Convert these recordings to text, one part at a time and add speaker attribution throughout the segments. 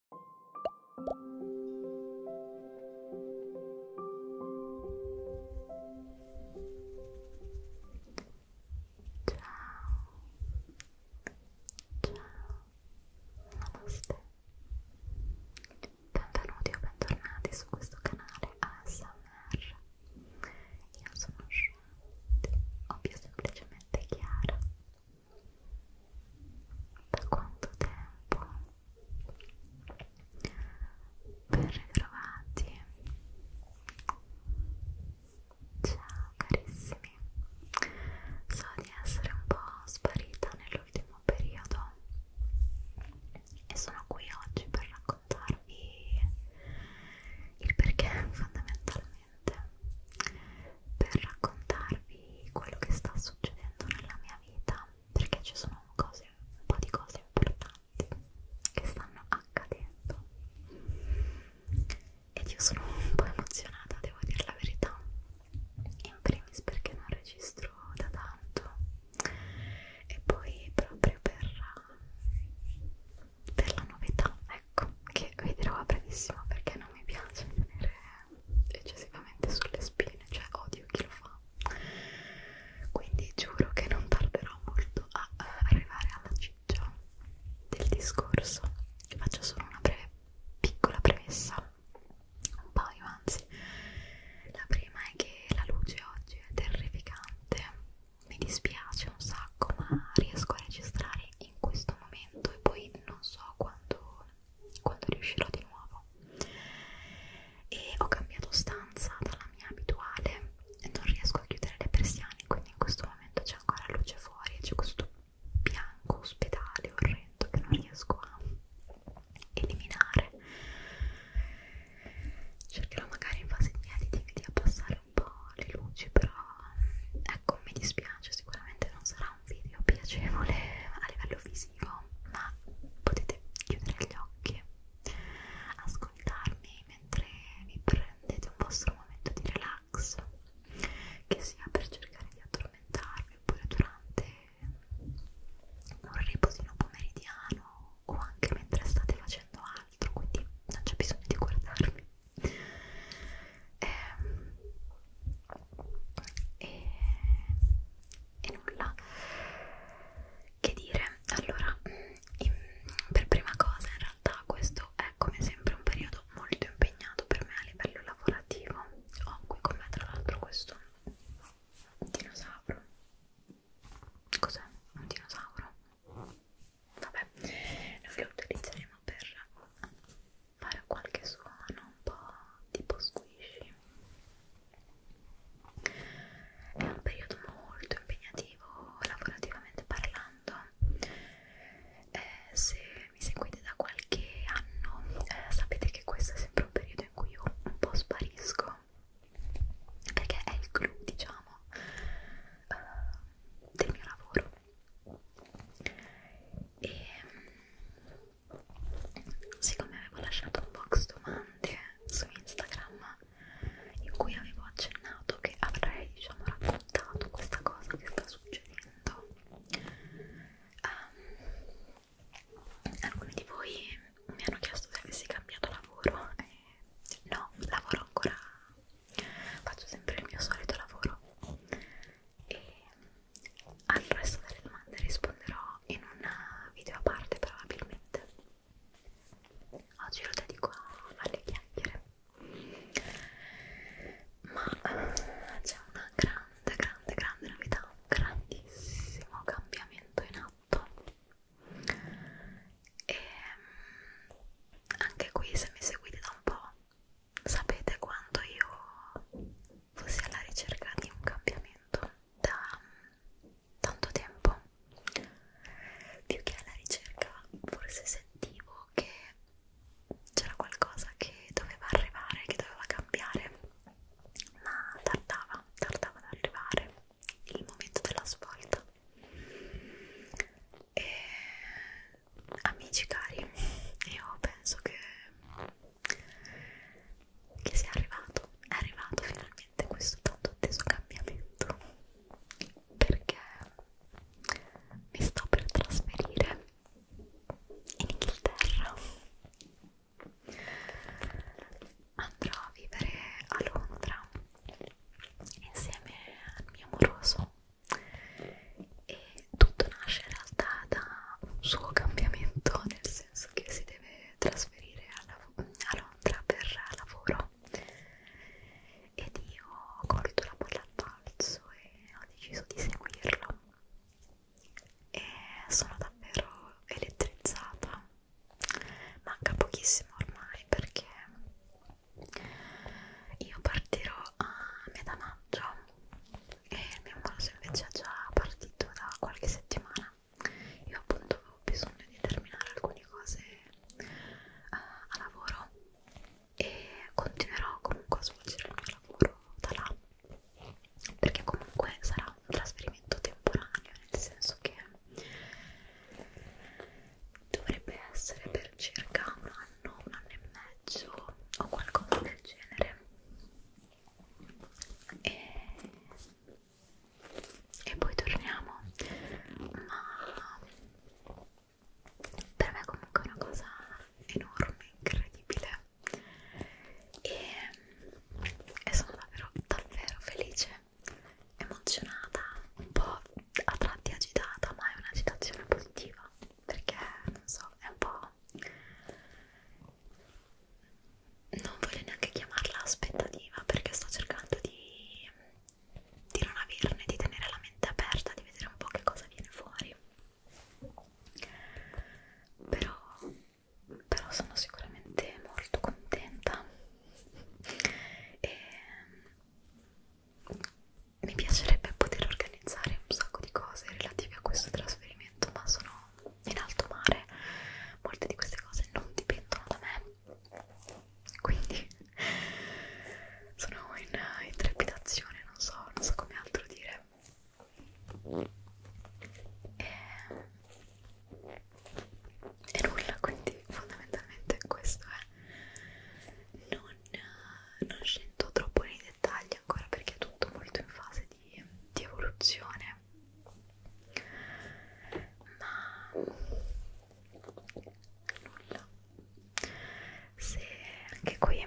Speaker 1: namaste benvenuti o bentornati su questo canale ASMR io sono Shanti, ovvio semplicemente Chiara da quanto tempo ben ritrovati ciao carissimi so di essere un po' sparita nell'ultimo periodo e sono qui oggi per raccontarvi il perché fondamentalmente per raccontarvi quello che sta succedendo nella mia vita perché ci sono cose, un po' di cose importanti che stanno accadendo ed io sono un po' emozionata, devo dire la verità in primis perché non registro da tanto e poi proprio per, per la novità ecco che vedrò a brevissimo perché non mi piace tenere eccessivamente sulle spine, cioè odio chi lo fa. Quindi giuro che non tarderò molto a eh, arrivare alla ciccia del discorso. Faccio solo una breve piccola premessa, un paio anzi. La prima è che la luce oggi è terrificante, mi dispiace un sacco, ma riesco a registrare in questo momento e poi non so quando quando riuscirò di nuovo e ho cambiato stanza dalla mia abituale e non riesco a chiudere le persiane quindi in questo momento c'è ancora luce fuori e c'è questo bianco ospedale orrendo che non riesco a eliminare cercherò magari in fase di editing di abbassare un po' le luci però ecco mi dispiace sicuramente non sarà sarà un video piacevole a livello fisico, ma potete chiudere gli occhi, ascoltarmi mentre vi prendete un vostro momento di relax, che sia per cercare di addormentarvi oppure durante un riposino pomeridiano o anche mentre state facendo altro, quindi non c'è bisogno di guardarmi. Eh, e, e nulla che dire allora mm, in, per prima cosa in realtà questo è come sempre un periodo molto impegnato per me a livello lavorativo ho qui con me tra l'altro questo dinosauro cos'è? un dinosauro? vabbè noi lo utilizzeremo per fare qualche suono un po' tipo squishy. È un periodo molto impegnativo lavorativamente parlando. Eh, se mi seguite da qualche anno eh, sapete che questo è sempre un periodo in cui io un po' sparisco perché è il clou, diciamo, eh, del mio lavoro. E siccome avevo lasciato un box domande su Instagram in cui avevo accennato che avrei diciamo raccontato questa cosa che sta succedendo um, ehm, alcuni di voi mi hanno chiesto se avessi cambiato lavoro e no, lavoro ancora faccio sempre il mio solito lavoro e al resto delle domande risponderò in un eh, video a parte probabilmente oggi lo dedico alle chiacchiere ma uh, c'è una grande grande grande novità un grandissimo cambiamento in atto e ehm, anche qui se mi seguite da un po' sapete quando io fossi alla ricerca di un cambiamento da tanto tempo più che alla ricerca forse sentivo che c'era qualcosa che doveva arrivare che doveva cambiare ma tardava tardava ad arrivare il momento della svolta e amici cari io penso che che sia arrivato, è arrivato finalmente questo tanto atteso cambiamento perché mi sto per trasferire in Inghilterra andrò a vivere a Londra insieme al mio amoroso e tutto nasce in realtà da un suo cambiamento, nel senso che si deve trasferire a, a Londra per lavoro ed io ho colto la palla al balzo e ho deciso di seguirlo e sono davvero elettrizzata manca pochissimo ormai perché io partirò a metà maggio e il mio corso invece è già partito da qualche settimana io appunto avevo bisogno di terminare alcune cose eh, a lavoro e continuerò comunque a svolgere il mio lavoro da là perché comunque sarà un trasferimento temporaneo nel senso che dovrebbe essere per circa un anno, un anno e mezzo o qualcosa del genere e, e poi torniamo ma per me comunque è una cosa enorme incredibile e, e sono davvero davvero felice emozionata un po' a tratti agitata ma è un'agitazione positiva perché non so è un po' non voglio neanche chiamarla aspettativa perché sto cercando di, di non averne, di tenere la mente aperta, di vedere un po' che cosa viene fuori. Però, però sono sicuramente molto contenta e mm, mi piacerebbe poter organizzare un sacco di cose relative a questo trasferimento detto ma sono in alto mare molte di queste cose non dipendono da me quindi sono in, eh, in trepidazione non so, non so come altro dire e, e nulla quindi fondamentalmente questo è non, eh, non scendo troppo nei dettagli ancora perché è tutto molto in fase di, di evoluzione ma nulla se anche qui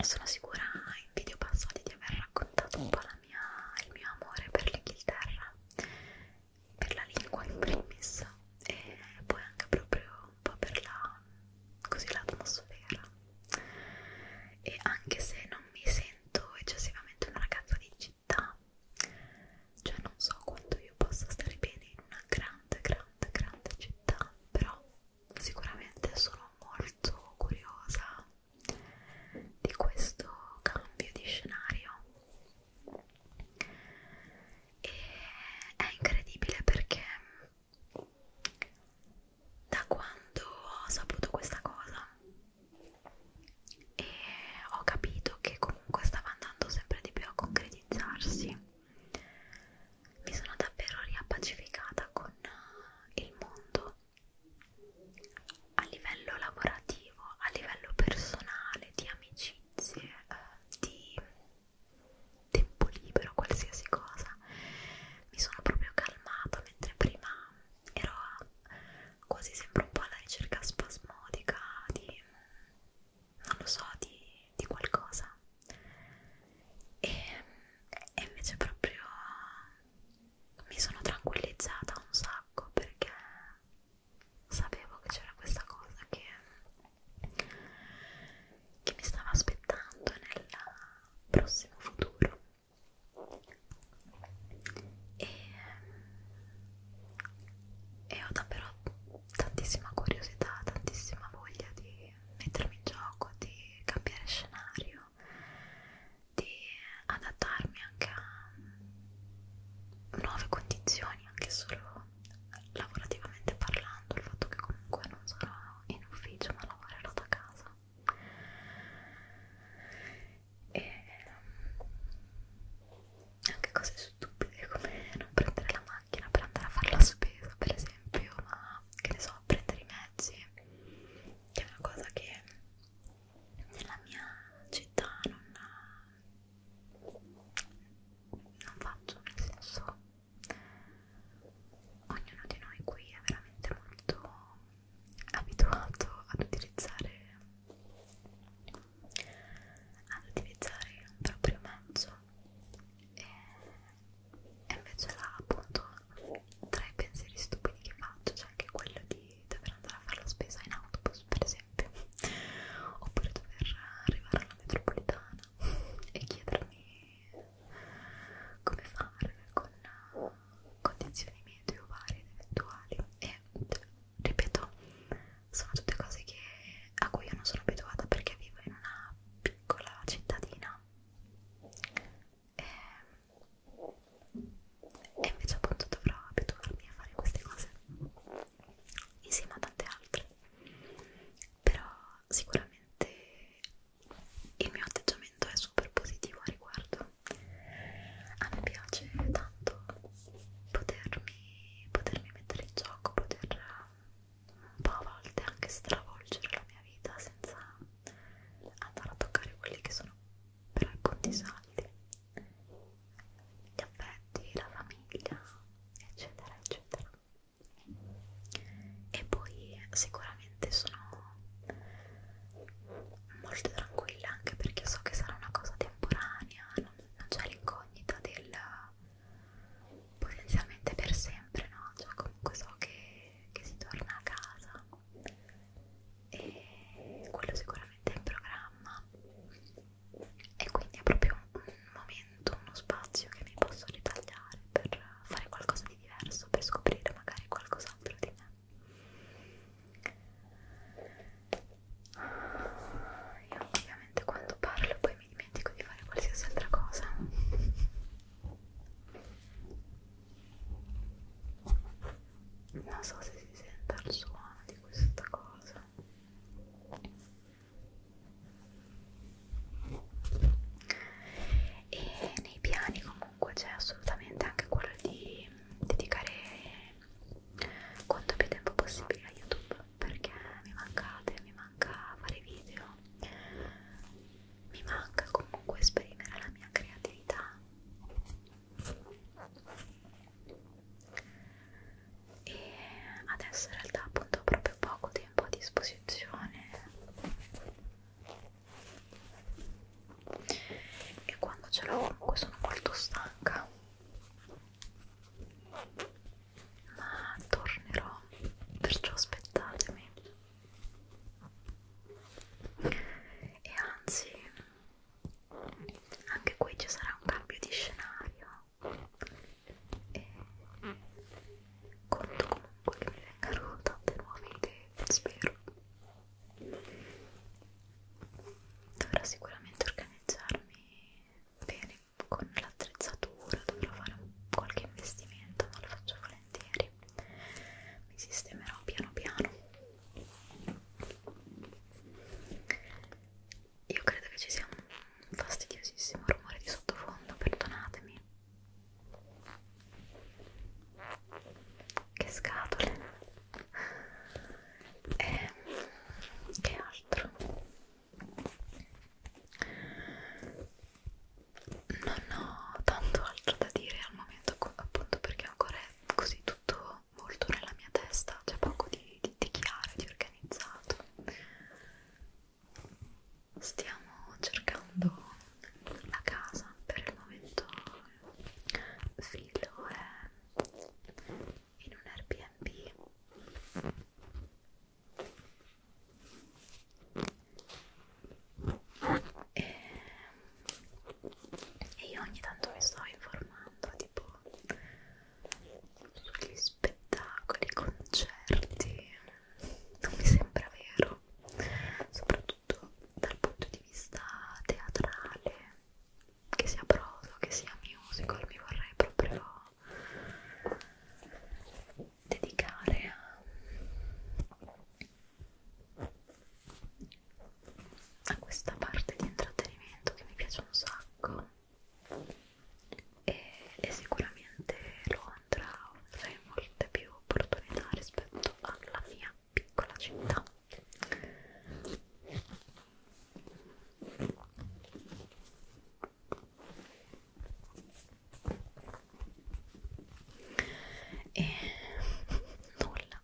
Speaker 1: sono sicura in video passati di aver raccontato un po' la mia, il mio amore per l'Inghilterra per la lingua in primis e poi anche proprio un po' per la così l'atmosfera e anche se non mi sento eccessivamente una ragazza di città cioè non so quanto io possa stare bene in una grande grande grande città però sicuramente sono molto curiosa di questo cambio di scenario e è incredibile perché da quando ho saputo questa cosa e ho capito che comunque stava andando sempre di più a concretizzarsi mi sono davvero riappacificata con il mondo a livello lavorativo, a livello personale, di amicizie, eh, di tempo libero, qualsiasi cosa mi sono proprio calmata mentre prima ero quasi sempre un po' alla ricerca spasmodica di non lo so di, di qualcosa e, e invece proprio mi sono tranquillizzata un sacco perché sapevo che c'era questa cosa che, che mi stava aspettando nella, prossimo futuro e, e ho davvero tantissima curiosità, tantissima voglia di mettermi in gioco, di cambiare scenario, di adattarmi anche a nuove condizioni, anche solo lavorativamente parlando, il fatto che comunque non sarò in ufficio ma lavorerò da casa e ehm, anche cose stupide come non prendere la macchina per andare a fare la spesa per esempio ma che ne so prendere i mezzi che è una cosa che nella mia città non non faccio nel senso ognuno di noi qui è veramente molto abituato ad utilizzare ad utilizzare un proprio mezzo e, e invece là appunto tra i pensieri stupidi che faccio c'è anche quello di dover andare a fare la spesa in autobus per esempio oppure dover arrivare alla metropolitana e chiedermi come fare con condizioni meteo varie ed eventuali e ripeto sono tutte cose che, a cui io non sono abituata perché vivo in una piccola cittadina e, ehm, e invece appunto dovrò abituarmi a fare queste cose insieme a tante altre però sicuramente il mio atteggiamento è super positivo a riguardo a me piace tanto potermi, potermi mettere in gioco poter um, un po' a volte anche stravolgere la mia vita senza andare a toccare quelli che sono però i conti saldi gli affetti, la famiglia eccetera eccetera e poi sicuramente sono molto tranquilla anche perché so che sarà una cosa temporanea non, non c'è l'incognita del potenzialmente per sempre no cioè comunque so che, che si torna a casa e quello sicuramente è in programma e quindi è proprio un momento uno spazio che mi posso ritagliare per fare qualcosa di di diverso per scoprire magari qualcos'altro di me. Io ovviamente quando parlo poi mi dimentico di fare qualsiasi altra cosa. Non so se si sente il suono di questa cosa e nei piani comunque c'è assolutamente anche quello di dedicare quanto più tempo possibile a YouTube perché mi mancate, mi manca fare video, mi manca comunque esprimere la mia creatività e adesso in realtà appunto ho proprio poco tempo a disposizione e quando ce l'ho comunque sono molto stanca ma tornerò perciò aspettatemi e anzi anche qui ci sarà un cambio di scenario e conto comunque che mi vengano tante nuove idee spero dovrò sicuramente organizzarmi bene con l'attrezzatura dovrò fare qualche investimento ma lo faccio volentieri mi sistemerò piano piano io credo che ci sia un fastidiosissimo rumore di sottofondo perdonatemi che scatole e che altro non ho tanto altro da dire al momento appunto perché ancora è così tutto molto nella mia testa c'è poco di, di, di chiaro, di organizzato stiamo cercando la casa per il momento Fillo è in un Airbnb e, e io ogni tanto mi sto informando tipo sugli spettacoli, concerti non mi sembra vero soprattutto soprattutto dal punto di vista teatrale, che sia prosa, che sia musical, mi vorrei proprio dedicare a, a questa parte di intrattenimento che mi piace un sacco e, e sicuramente Londra offre molte più opportunità rispetto alla mia piccola città e nulla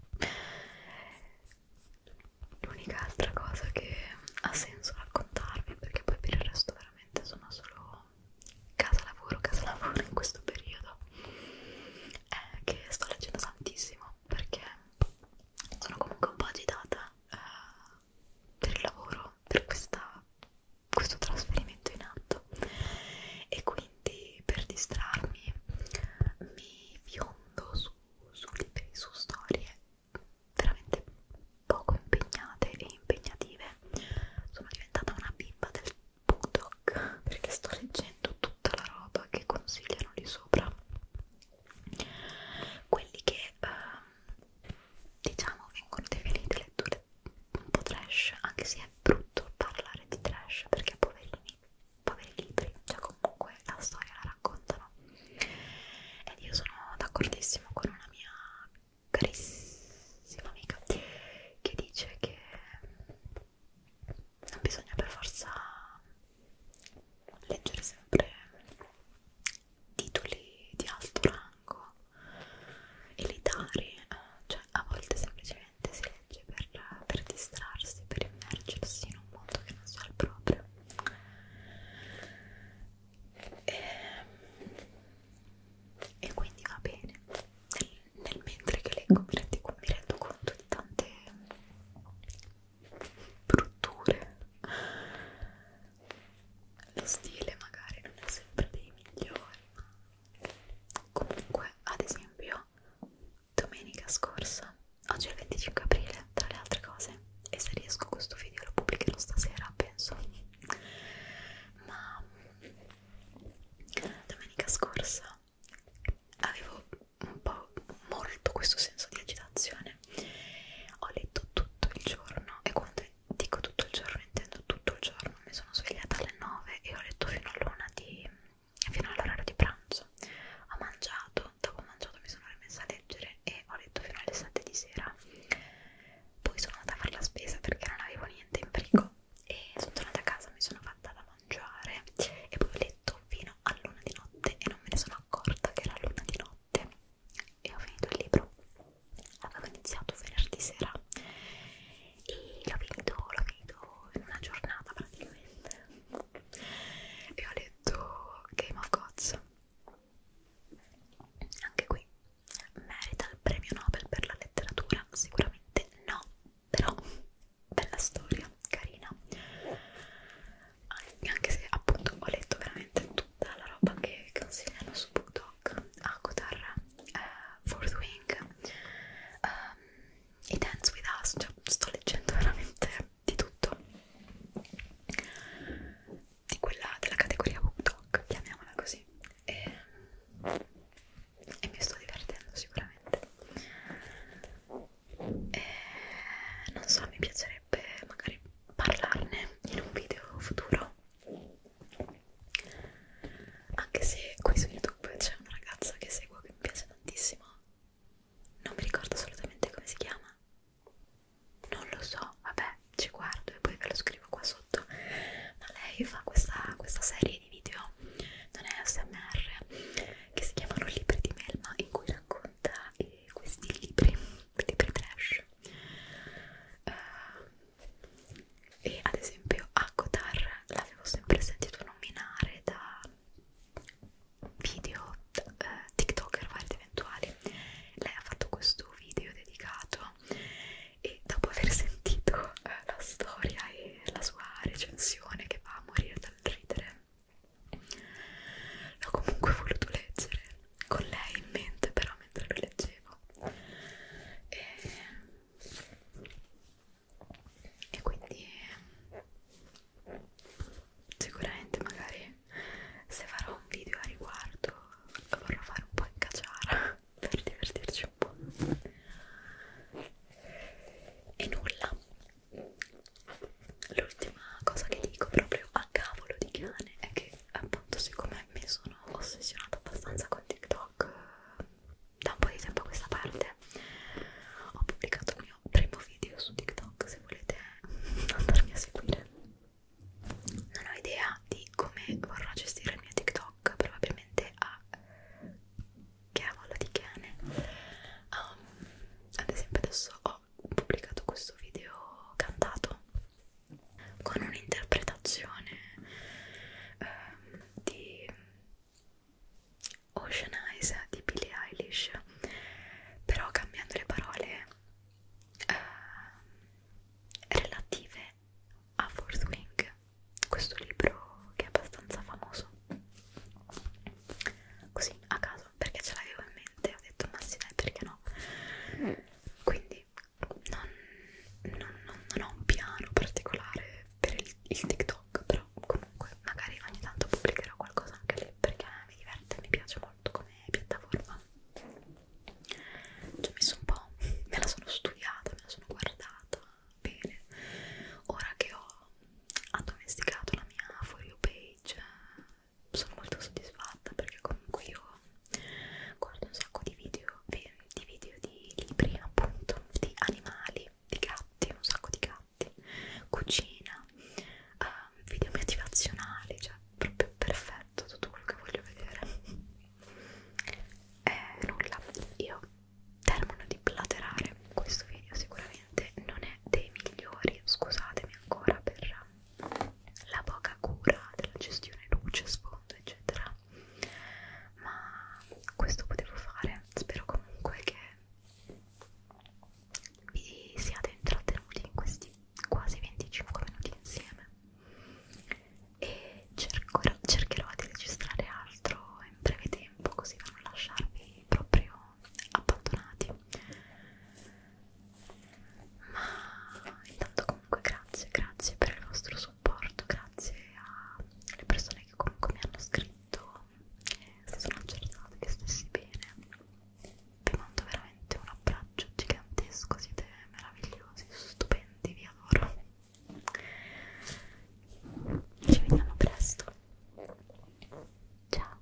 Speaker 1: l'unica altra cosa che ha senso raccontarvi perché poi per il resto veramente sono solo casa lavoro, casa lavoro in questo periodo è eh, che sto leggendo tantissimo perché sono comunque un po' agitata eh, per il lavoro, per questa, questo trasferimento in atto e quindi per distrarmi mi fiondo su, su libri, su storie veramente poco impegnate e impegnative sono diventata una bimba del Budok perché sto leggendo tutta la roba che consigliano lì sopra quelli che eh, diciamo vengono definite letture un po' trash anche se è brutto parlare di trash perché poverini poveri libri cioè comunque la storia la raccontano ed io sono d'accordissimo con una mia carissima amica che dice che non bisogna per forza leggere sempre titoli di alto rango elitari, cioè a volte semplicemente si legge per, per distrarsi, per immergersi in un mondo che non sia il proprio. E, e quindi va bene nel, nel mentre che leggo mi, rendi, mi rendo conto di tante brutture lo stile magari non è sempre dei migliori ma comunque ad esempio domenica scorsa oggi è il 25 aprile tra le altre cose e se riesco questo video lo pubblicherò stasera penso ma domenica scorsa avevo un po' molto questo senso di agitazione ho letto tutto il giorno e quando dico tutto il giorno intendo tutto il giorno mi sono svegliata alle 9 e ho letto fino all'una di fino all'orario di pranzo ho mangiato dopo ho mangiato mi sono rimessa a leggere e ho letto fino alle 7 di sera poi sono andata a fare la spesa perché non avevo niente in frigo lavoro e sono tornata a casa, mi sono fatta da mangiare e poi ho letto fino a luna di notte e non me ne sono accorta che era luna di notte e ho finito il libro avevo iniziato venerdì sera e l'ho finito, l'ho finito in una giornata praticamente e ho letto Game of Gods anche qui merita il premio Nobel per la letteratura sicuramente ovviamente no, però bella storia, carina anche se appunto ho letto veramente tutta la roba che consigliano su BookDog Akotar, uh, eh, Fourth Wing um, i Dance With Us, cioè sto leggendo veramente di tutto di quella della categoria BookDog, chiamiamola così e ehm, e mi sto divertendo sicuramente e eh, non so mi piacerebbe magari parlarne in un video futuro anche se qui su youtube c'è una ragazza che seguo che mi piace tantissimo non mi ricordo assolutamente come si chiama non lo so vabbè ci guardo e poi ve lo scrivo qua sotto sotto ma lei fa questa, questa serie di video non è ASMR che si chiamano libri di Melma in cui racconta eh, questi libri libri trash uh, e ad esempio Akotar l'avevo sempre sentito nominare da video eh, tiktoker vari ed eventuali lei ha fatto questo video dedicato e dopo aver sentito eh, la storia e la sua recensione che va a morire dal ridere l'ho comunque voluto leggere con lei in mente però mentre lo leggevo e, e quindi sicuramente magari se farò un video a riguardo vorrò fare un po' in caciara per divertirci un po' e nulla l'ultima cosa che dico proprio a cavolo di cane è che appunto siccome mi sono ossessionata abbastanza con TikTok da un po' di tempo a questa parte ho pubblicato il mio primo video su TikTok se volete andarmi a seguire non ho idea di come vorrò gestire il mio TikTok probabilmente a cavolo di cane um, ad esempio adesso ho pubblicato questo video cantato con un'interpretazione um, di Ocean Eyes di Billie Eilish però cambiando le parole uh, relative a Force Wing, questo libro che è abbastanza famoso così a caso perché ce l'avevo in mente ho detto ma sì dai perché no quindi non, non, non, non ho un piano particolare per il, il TikTok però comunque magari ogni tanto pubblicherò qualcosa anche lì perché mi diverte mi piace molto come piattaforma ci ho messo un po' me la sono studiata me la sono guardata Bene, ora che ho addomesticato la mia For You page sono molto soddisfatta perché comunque io guardo un sacco di video di, video di libri appunto, di animali, di gatti, un sacco di gatti, cucina, uh, video motivazionali, cioè proprio perfetto tutto quello che voglio vedere. Eh, nulla, io termano di platerare questo video sicuramente non è dei migliori scusatemi ancora per la poca cura della gestione luce, sfondo eccetera ma questo potevo fare spero comunque che vi siate intrattenuti in questi quasi 25 minuti insieme e cercherò, cercherò di registrare altro in breve tempo così da non lasciarvi proprio abbandonati ma intanto comunque grazie grazie per il vostro supporto grazie alle persone che comunque mi hanno scritto si sono accertate che stessi bene vi mando veramente un abbraccio gigantesco siete meravigliosi stupendi vi adoro ci vediamo presto. Ciao.